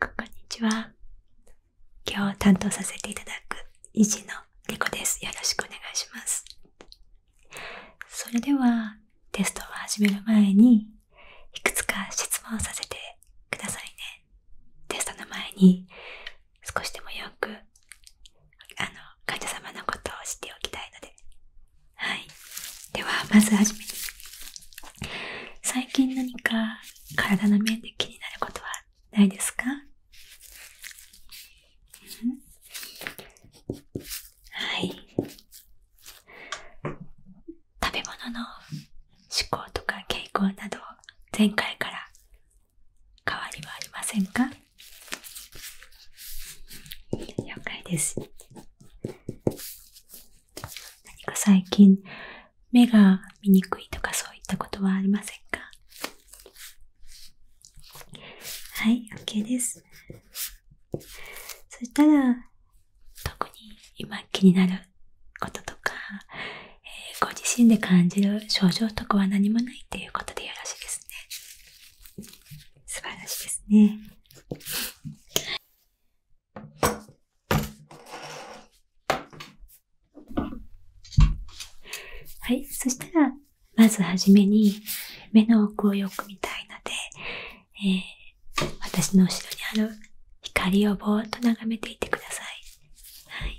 こんにちは。今日担当させていただく維持のリコです。よろしくお願いします。それではテストを始める前にいくつか質問させてくださいね。テストの前に少しでもよくあの患者様のことを知っておきたいので。はい。ではまず最近何か体の面で気になることはないですか、はい食べ物の思考とか傾向など前回から変わりはありませんか了解です何か最近目が見にくいとかそういったことはありませんかはい、OK です。そしたら、特に今気になることとか、ご自身で感じる症状とかは何もないっていうことでよろしいですね。素晴らしいですね。はい。そしたら、まずはじめに、目の奥をよく見たいので、え私の後ろにある光をぼーっと眺めていてください。はい。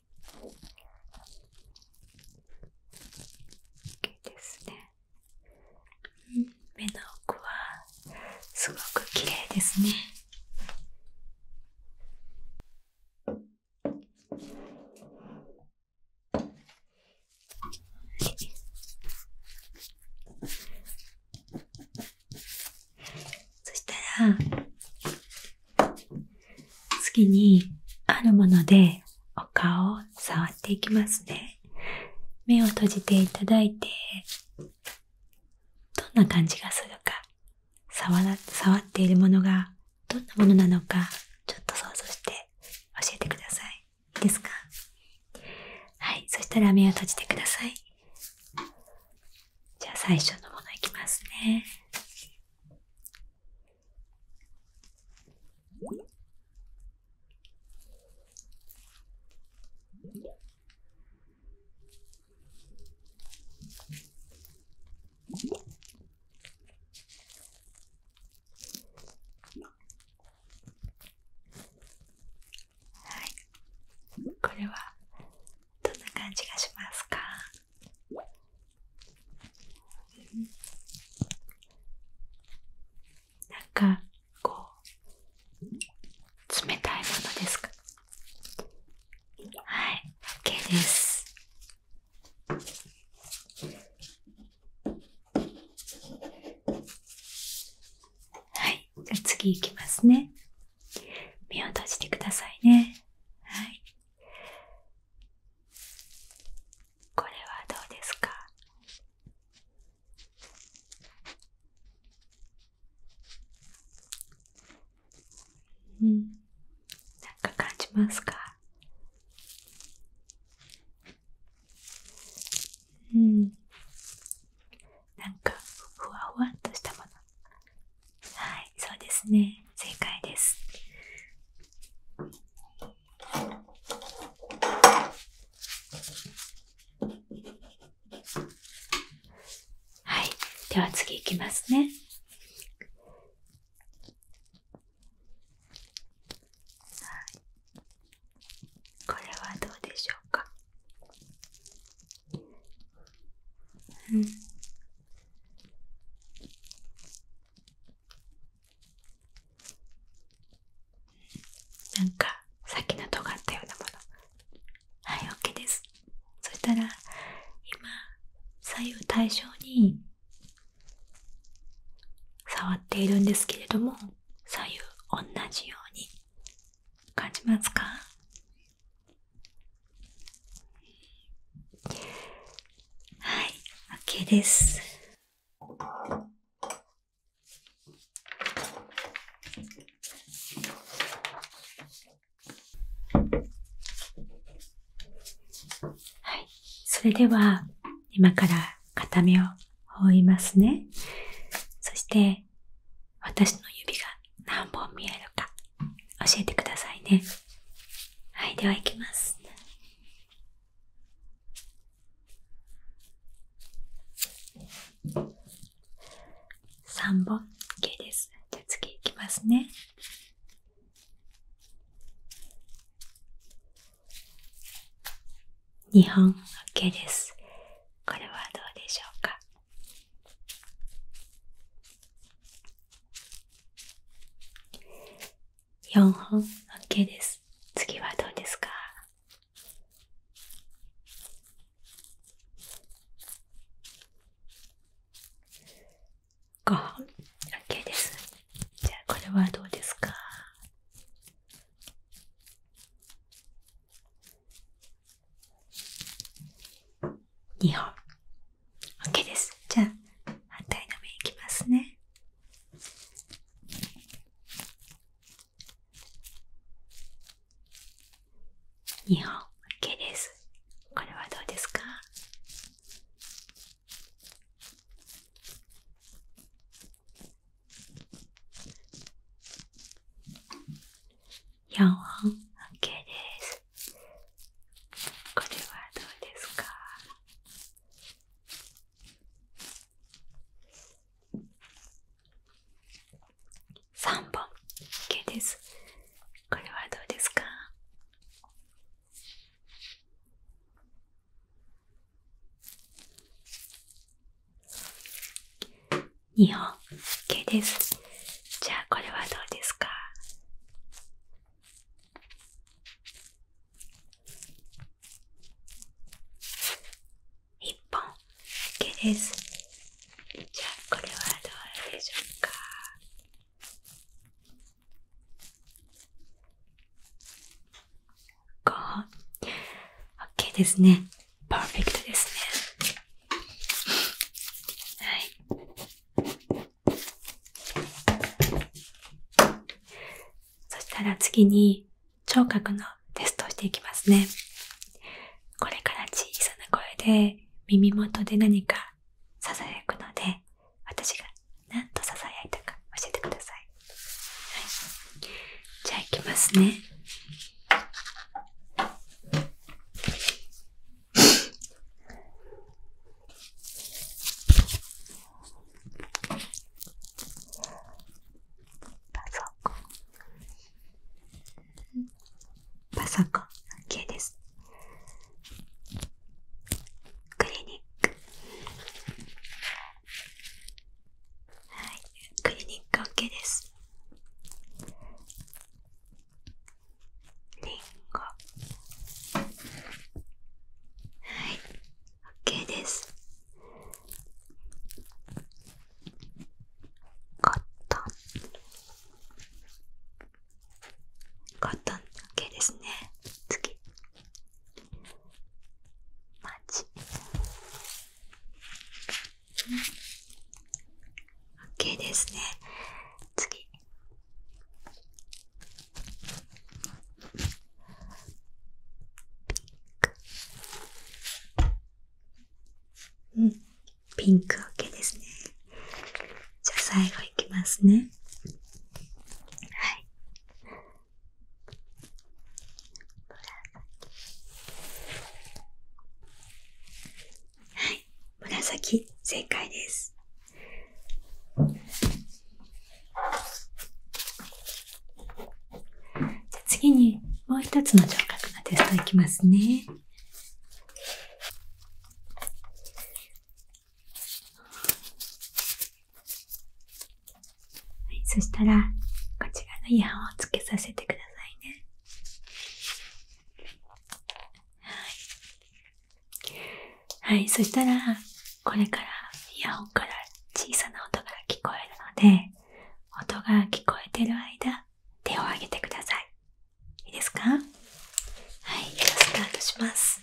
OK ですね、うん、目の奥はすごく綺麗ですねそしたら次に、あるものでお顔を触っていきますね。目を閉じていただいて、どんな感じがするか、触ら触っているものがどんなものなのか、ちょっと想像して教えてください。いいですかはい、そしたら目を閉じてください。じゃあ最初のものいきますね。はい、これはどんな感じがしますかなんか、こう、冷たいものですかはい、OK です。はい、じゃあ次いきますね。目を閉じてくださいね。はい。これはどうですかうんなんか感じますかうんなんかふわふわっとしたものはい、そうですね。正解です。はい、では次いきますね。はい、これはどうでしょうか。うんなんかさっきのと尖ったようなものはい OK ですそしたら今左右対称に触っているんですけれども左右同じように感じますかはい、OK です。はい、それでは今から片目を覆いますね。そして私の指が何本見えるか教えてくださいね。はい、では行きます。3本 OK です。じゃ次行きますね。2本 OK です。これはどうでしょうか4本 OK です次はどうですか5本 OK ですじゃあこれはどうですか2本。OK です。じゃあ、反対の目いきますね。2本。OK です。これはどうですか4本ケ k ですこれはどうですか3本ケ k ですこれはどうですか2本 OK ですじゃあこれはどうですか1本 OK ですじゃあこれはどうでしょうか5本 OK ですねパーフェクトですね。はい。そしたら次に聴覚のテストをしていきますね。これから小さな声で耳元で何かささやくので、私が何と囁いたか教えてください。はい。じゃあいきますね。パソコンパソコン OK ですクリニックはいクリニック OK ですりんご。はい OK ですコットンコットン OK ですね次マジオッケーですね。次。ピンク。うん。ピンク OK ですね。じゃあ最後いきますね。はい。はい、紫正解です。じゃ次にもう一つの聴覚のテストいきますね。はい、そしたらこちらのイヤをつけさせてくださいね。はい、はい、そしたらこれからイヤホンから小さな音が聞こえるので音が聞こえてる間手を挙げてくださいいいですかはいじゃあスタートします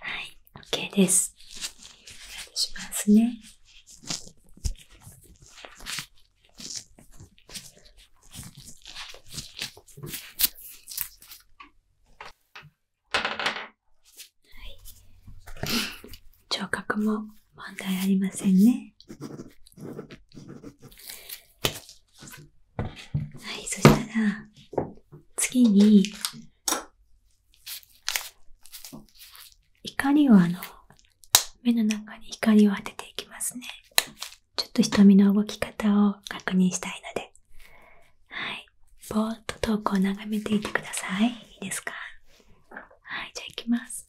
はい、OK です。外しますね。はい、聴覚も問題ありませんね。はい、そしたら次に光をあの、目の中に光を当てていきますね。ちょっと瞳の動き方を確認したいので。はい。ぼーっと遠くを眺めていてください。いいですかはい、じゃ行きます。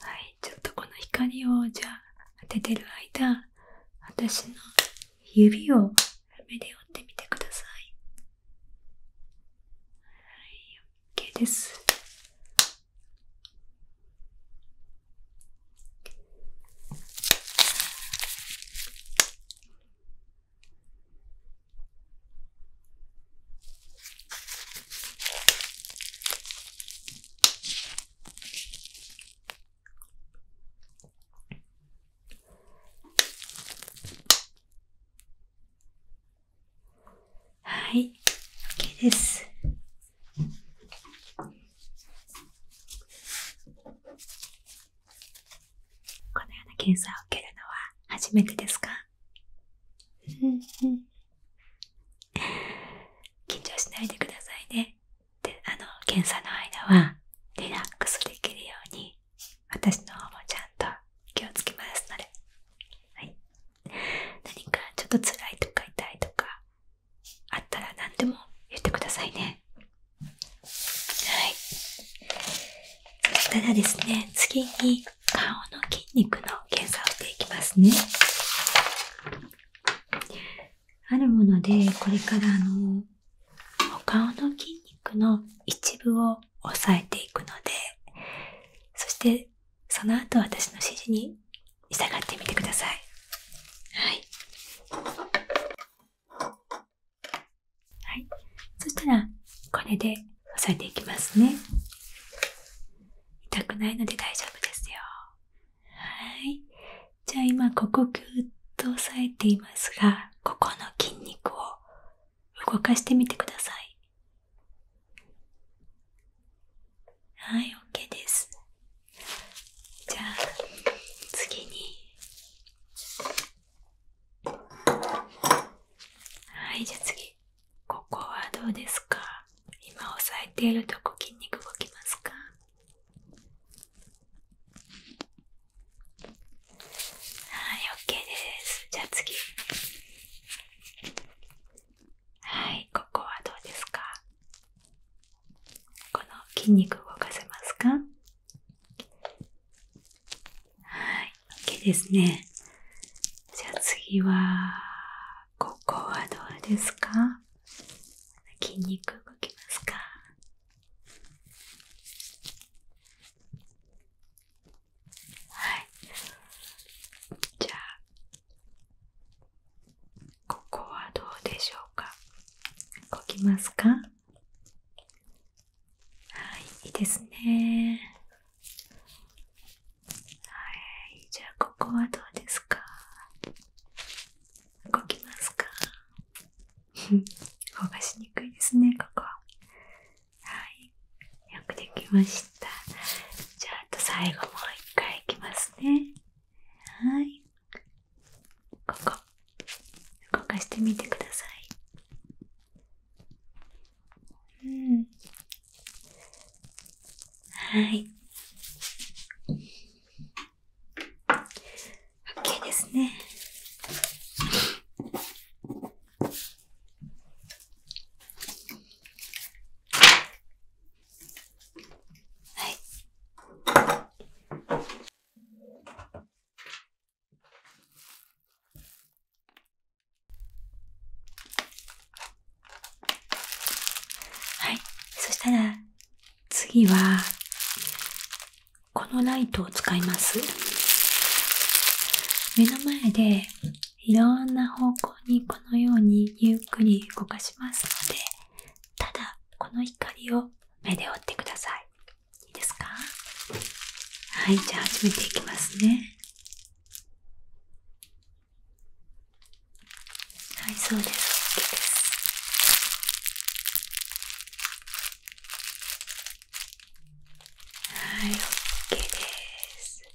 はい、ちょっとこの光をじゃあ当ててる間、私の指を目で折ってみてください。はい、OK です。はい、OK です。このような検査を受けるのは初めてですか緊張しないでくださいね。で、あの、検査の間はリラックスできるように私の方もちゃんと気をつけますので。はい。何かちょっと辛いとか痛いとかあったら何でも言ってくださいね。はい。ただですね、次に顔の筋肉の検査をしていきますね。あるもので、これからあの、お顔の筋肉の一部を押さえていくので、そしてその後私の指示に従ってみてください。はい。はい。そしたら、これで押さえていきますね。痛くないので大丈夫ですよ。はい。じゃあ今、ここぎゅっと押さえていますが、ここの筋肉を動かしてみてください。はい、OK です。じゃあ、次に、はい、じゃあ次。ここはどうですか今押さえているとこ筋肉動きますかはい、OK です。じゃあ次。はい、ここはどうですかこの筋肉動かせますかはい、OK ですね。じゃあ次は、ここはどうですか筋肉動きますかはい。じゃあ、ここはどうでしょうか動きますかはい、いいですね。はい、じゃあここはどうですか動きますか動か しにくいですね、ここ。はい、よくできました。じゃあ、あと最後もう一回いきますね。はい。ここ動かしてみてくださいうんはいオッケーですねはいはい。そしたら、次は、このライトを使います。目の前で、いろんな方向にこのようにゆっくり動かしますので、ただこの光を目で追ってください。いいですかはい、じゃあ始めていきますね。はい、そうです。OK です。はい、OK です。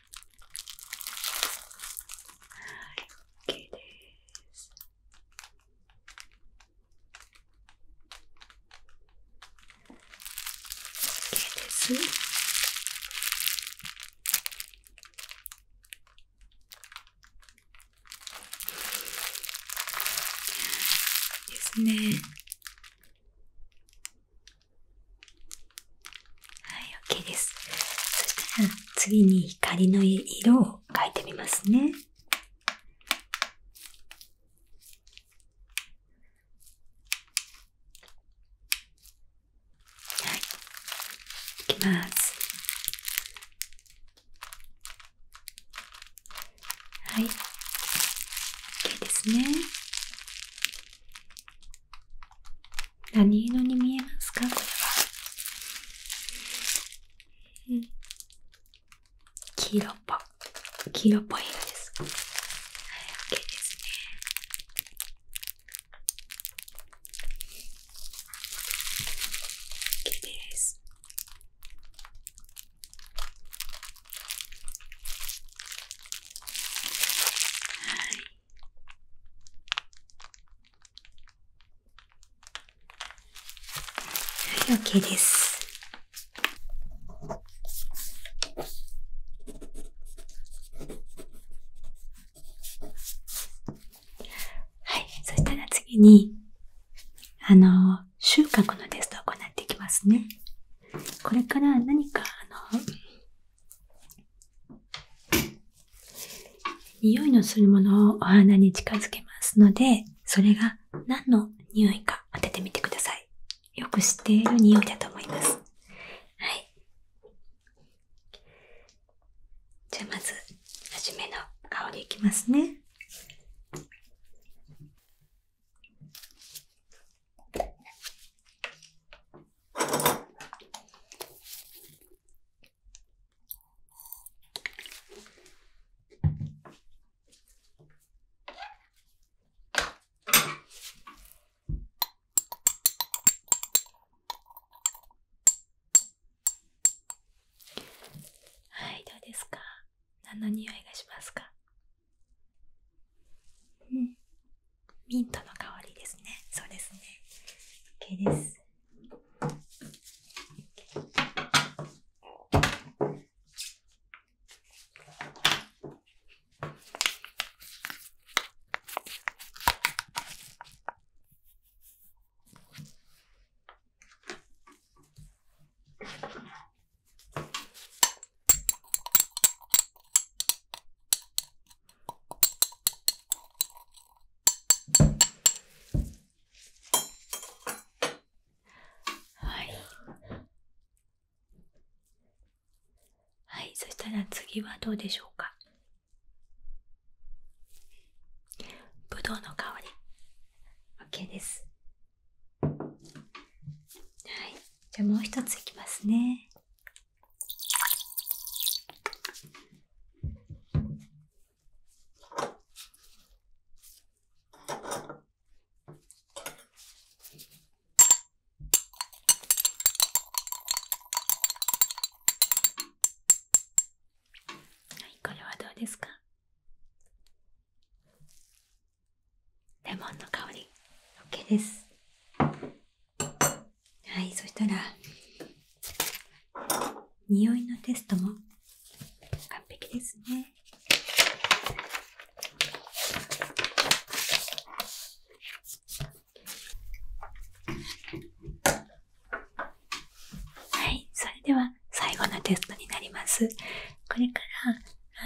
はい、OK です。OK です。ですね。はい、OK です。そしたら次に光の色を描いてみますね。はい、いきます。はい、OK ですね。何色に見えますかこれは、う黄色っぽ黄色っぽい色ですはい OK ですね OK ですはいはい、OK です。はい、そしたら次に、あの、収穫のテストを行っていきますね。これから何か、あの、匂いのするものをお花に近づけますので、それが何の匂いか当ててみてください。よく知っている匂いだと思います。はい。じゃあまず、初めの香りいきますね。はいどうですか何の匂いがしますかうんミントの香りですね。そうですね。OK です。はいはいそしたら次はどうでしょうかぶどうの香り OK ですはいじゃあもう一ついきますねはい、これはどうですかレモンの香り OK ですはいそしたら匂いのテストも完璧ですねはいそれでは最後のテストになりますこれからあ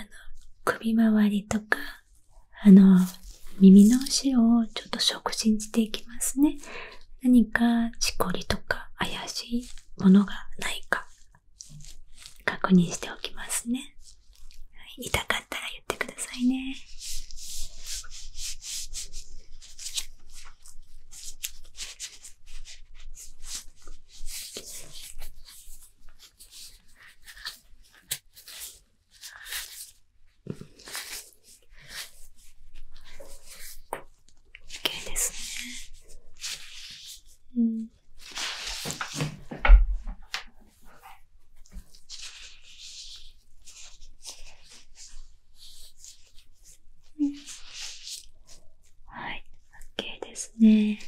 の首周りとかあの、耳の後ろをちょっと触診していきますね。何かしこりとか怪しいものがないか確認しておきますね。痛かったら言ってくださいね。OK ですね。うんうん、はい、OK ですね。